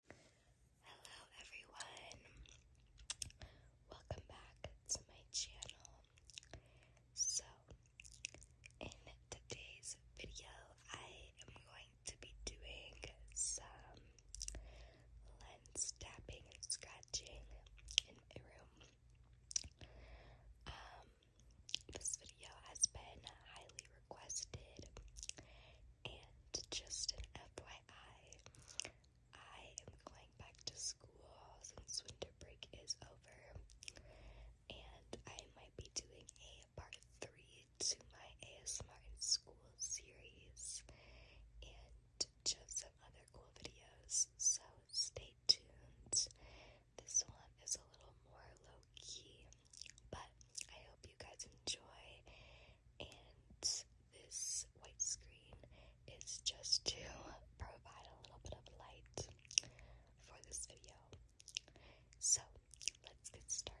Hello everyone. Welcome back to my channel. So, in today's video, I am going to be doing some lens tapping and scratching in my room. Um, this video has been highly requested and just an FYI, I am going back to school since winter break is over, and I might be doing a part three to my ASMR school series and just some other cool videos. So stay tuned. This one is a little more low key. But I hope you guys enjoy, and this white screen is just to provide a little bit of light for this video. So let's get started.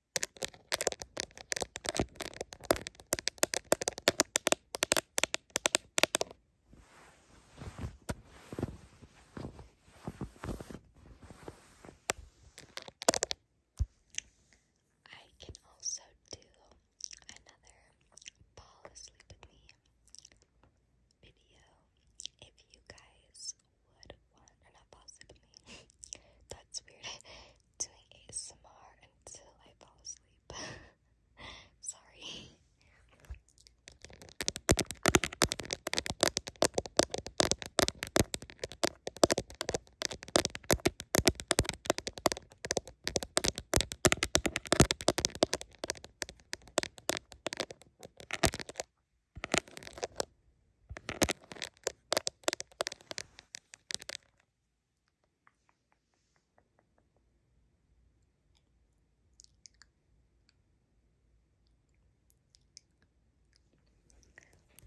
I can also do another fall asleep with me video if you guys would want, or fall asleep with me. That's weird. doing ASMR until I fall asleep. Sorry.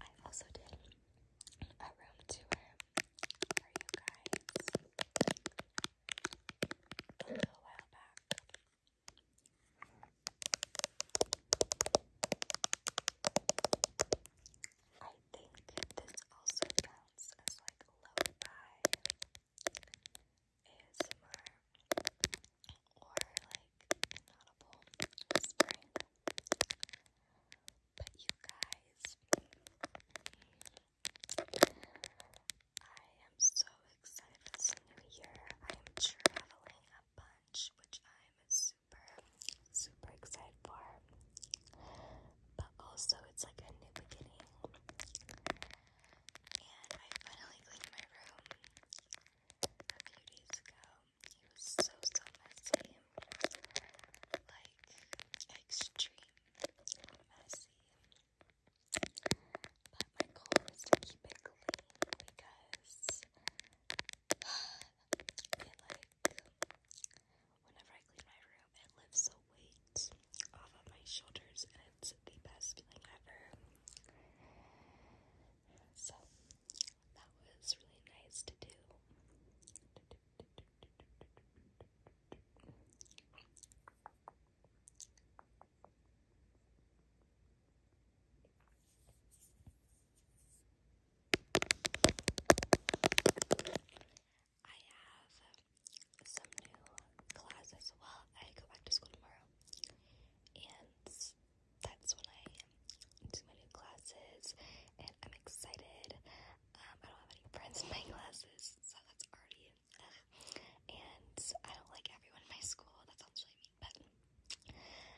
I also did a room tour for you guys a while back. I think this also counts as like lo-fi ASMR or like inaudible whispering. But you guys, I am so excited for this new year. I am traveling a bunch, which I'm super, super excited for. But also, it's like a new beginning. And I finally cleaned my room a few days ago. It was so, so messy. Like, extreme messy. But my goal is to keep it clean because it like whenever I clean my room, it lifts the weight off of my shoulders, and it's the best feeling ever. So that was really nice to do. I have some new classes. Well, I go back to school tomorrow, and that's when I do my new classes, and I'm excited. Um, I don't have any friends in my classes, so that's already. Uh, and I don't like everyone in my school. That sounds really but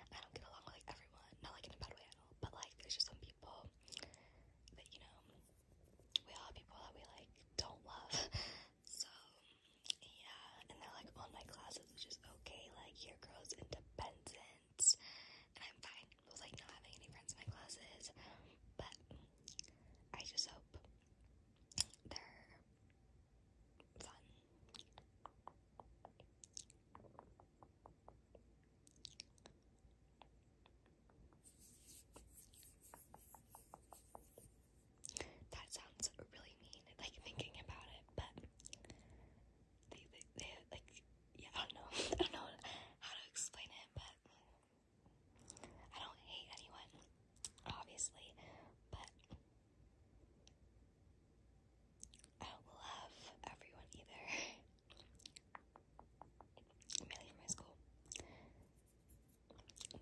I don't get along with like everyone, not like in a bad way at all, but like there's just some people that you know, we all have people that we like don't love, so yeah, and they're like on my classes, which is okay, like here, girl's independence. I'm fine with like not having any friends in my classes, but I just hope they're that sounds really mean, like thinking about it, but they, they like, yeah, I don't know, I don't know how to explain it, but I don't hate anyone, obviously, but I love everyone either. Mainly from my school.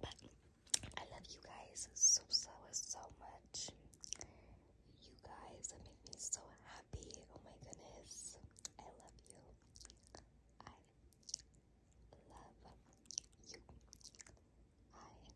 But I love you guys so, so, so much. You guys make me so happy. Oh my goodness. I love you. I love you. I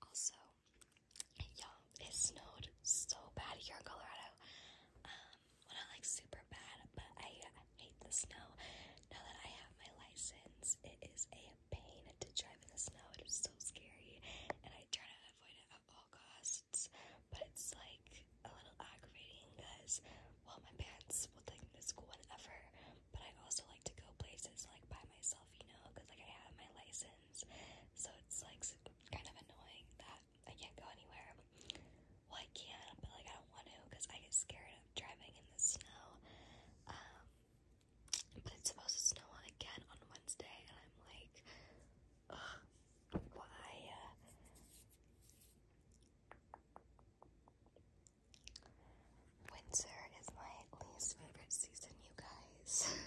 also, y'all, it snowed so bad here in Colorado. Um, well not like super bad, but I, uh, I hate the snow. Now that I have my license, it is a pain to drive in the snow. It is so scary, and I try to avoid it at all costs. But it's like a little aggravating because, well, my parents will take me to school whenever, but I also like to go places like by myself, you know, because like I have my license. So it's like kind of annoying that I can't go anywhere. I can, not but like I don't want to because I get scared of driving in the snow. Um, but it's supposed to snow again on Wednesday, and I'm like, why? Uh, winter is my least favorite season, you guys.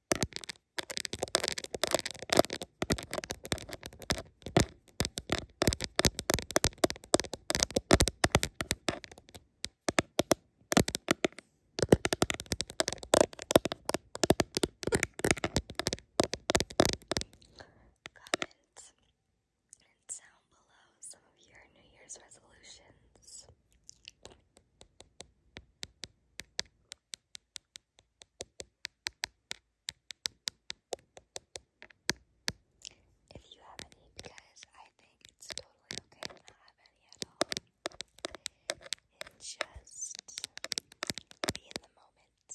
Comment and down below some of your New Year's resolutions. If you have any, because I think it's totally okay to not have any at all. And just be in the moment.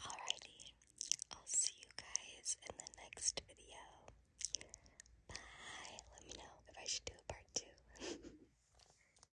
Alrighty, I'll see you guys in the next video. Bye. Let me know if I should do a part two.